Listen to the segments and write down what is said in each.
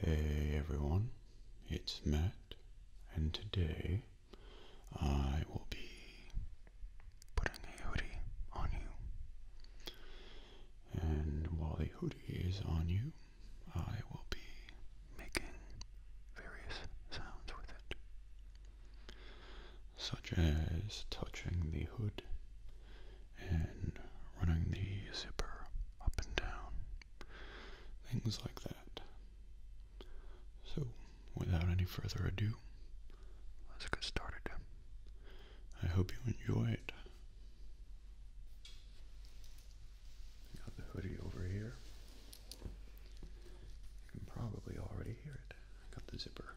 Hey everyone, it's Matt, and today I will be putting a hoodie on you. And while the hoodie is on you, I will be making various sounds with it, such as touching the hood and running the zipper up and down, things like that. So, without any further ado, let's get started. I hope you enjoy it. Got the hoodie over here. You can probably already hear it. I got the zipper.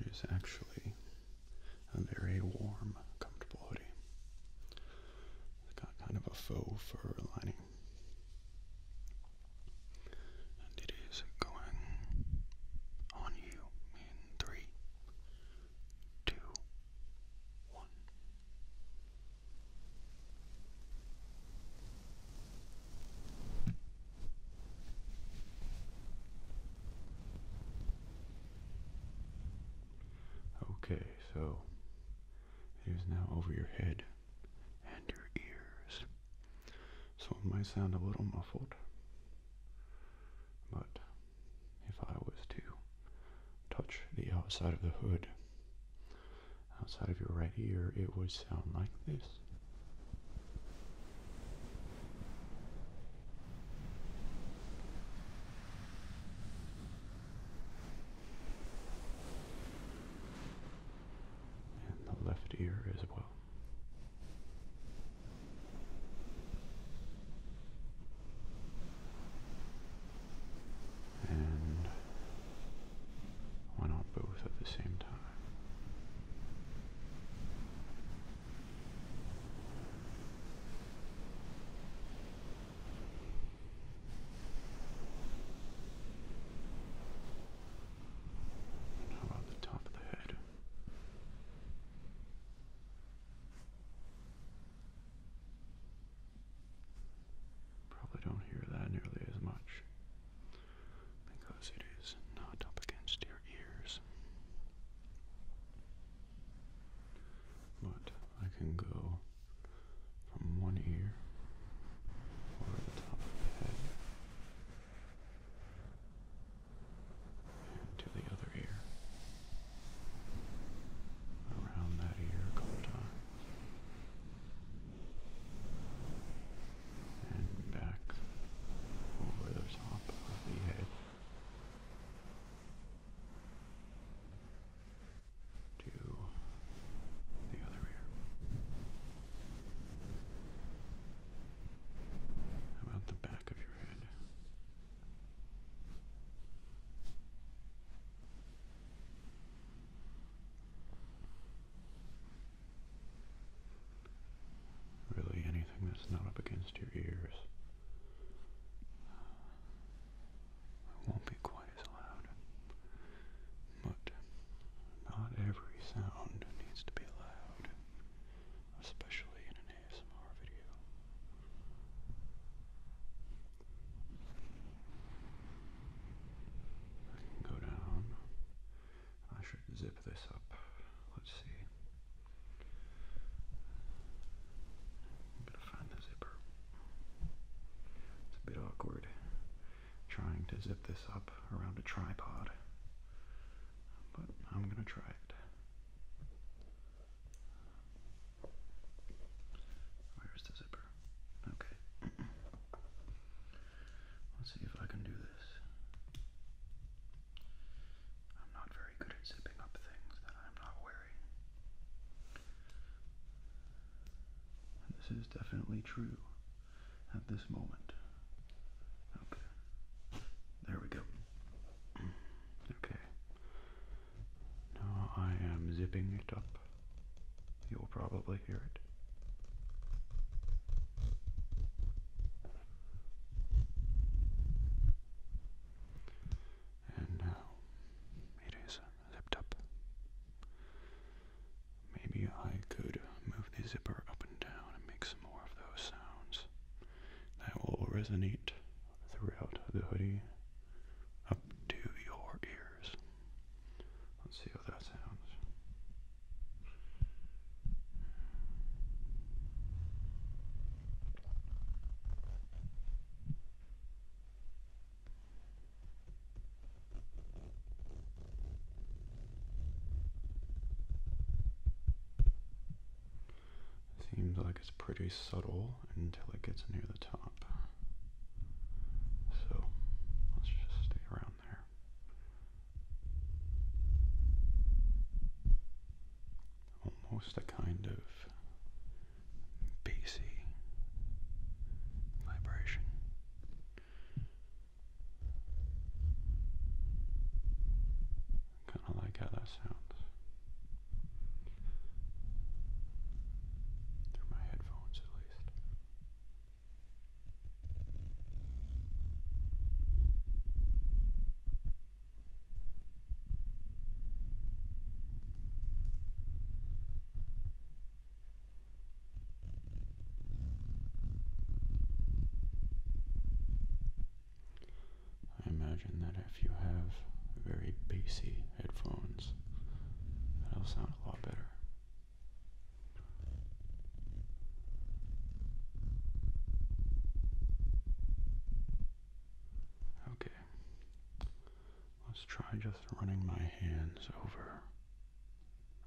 It is actually a very warm, comfortable hoodie. got kind of a faux fur lining. And it is going on you in three, two, one. Okay, so it is now over your head and your ears. So it might sound a little muffled, but if I was to touch the outside of the hood outside of your right ear, it would sound like this. And the left ear as well. And why not both at the same time? how about the top of the head? Probably don't hear that nearly as much because it is not up against your ears. But I can go from one ear over the top of the head to the other ear. Around that ear a couple times and back over the top of the head to the other ear. about the back of your head? Really anything that's not up against your ears. won't be quite as loud. But not every sound needs to be loud, especially in an ASMR video. I can go down I should zip this up. Let's see. I'm going to find the zipper. It's a bit awkward trying to zip this up around a tripod, but I'm going to try it. Where's the zipper? Okay. Let's see if I can do this. I'm not very good at zipping up things that I'm not wearing. this is definitely true at this moment. Okay. There we go. okay. Now I am zipping it up. You'll probably hear it. And now it is zipped up. Maybe I could move the zipper up and down and make some more of those sounds. That will resonate throughout the hoodie up to your ears. Let's see how that sounds. Seems like it's pretty subtle until it gets near the top. So let's just stay around there almost a kind of bassy vibration. Kind of like how that sounds through my headphones, at least. I imagine that if you have very bassy headphones, that'll sound a lot better. Okay, let's try just running my hands over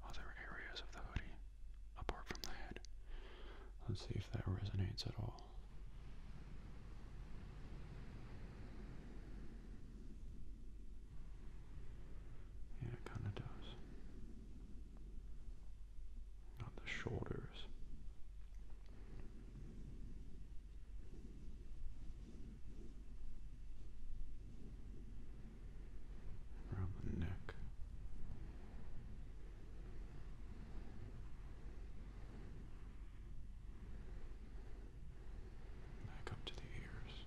other areas of the hoodie apart from the head. Let's see if that resonates at all. Yeah, kind of does on the shoulders. Around the neck, back up to the ears.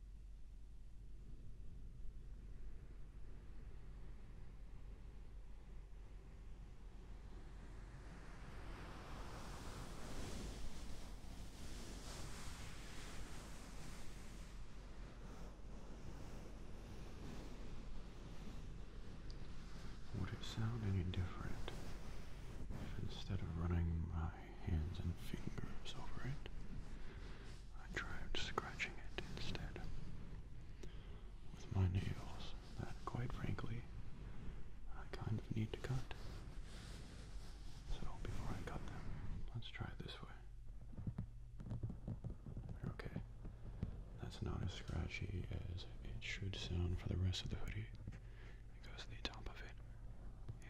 Would it sound any different if instead of running my hands and fingers over it, I tried scratching it instead with my nails that, quite frankly, I kind of need to cut. So before I cut them, let's try it this way. Okay, that's not as scratchy as it should sound for the rest of the hoodie because the top of it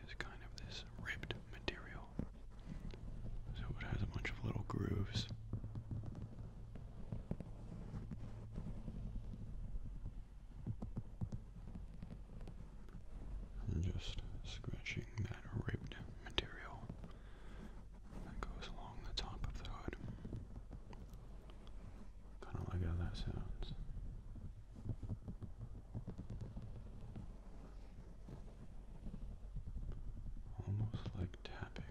is kind of this ripped material. So it has a bunch of little grooves. And just scratching that ribbed material that goes along the top of the hood. Kind of like how that sounds. Almost like tapping.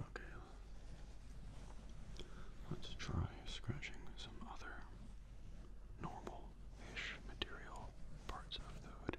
Okay, let's try scratching some other normal ish material parts of the hoodie.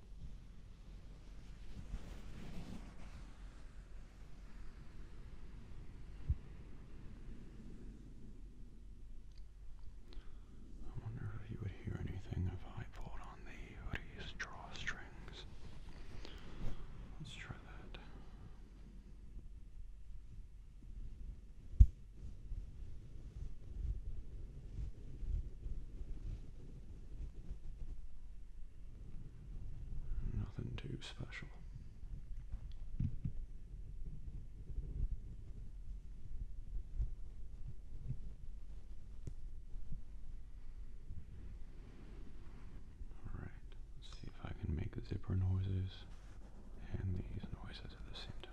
I wonder if you would hear anything if I pulled on the drawstrings. Let's try that. Nothing too special. Alright, see if I can make zipper noises and these noises at the same time.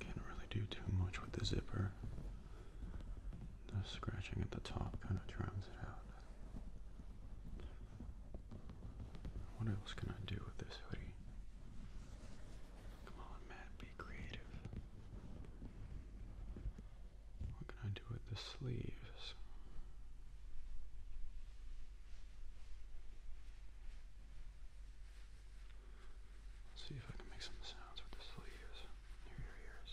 Can't really do too much with the zipper. The scratching at the top kind of drowns it out. What else can I do with this hoodie? Come on, Matt, be creative. What can I do with the sleeves? Let's see if I can make some sounds with this little ears near your ears.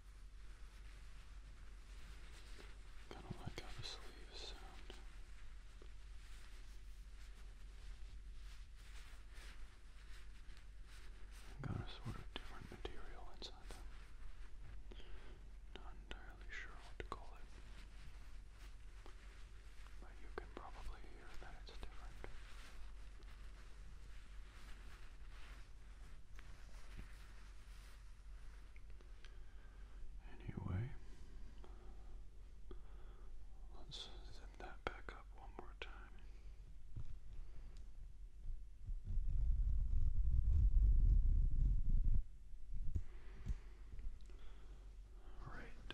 Kind of like how the sleeves sound. Got a sort of different material inside them. Not entirely sure what to call it. But you can probably hear that it's different. Anyway, let's zip that back up one more time. Right.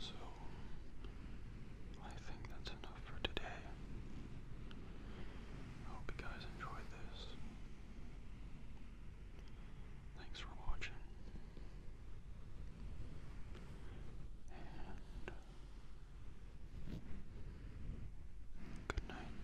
So I think that's enough for today. hope you guys enjoyed this. Thanks for watching. good night.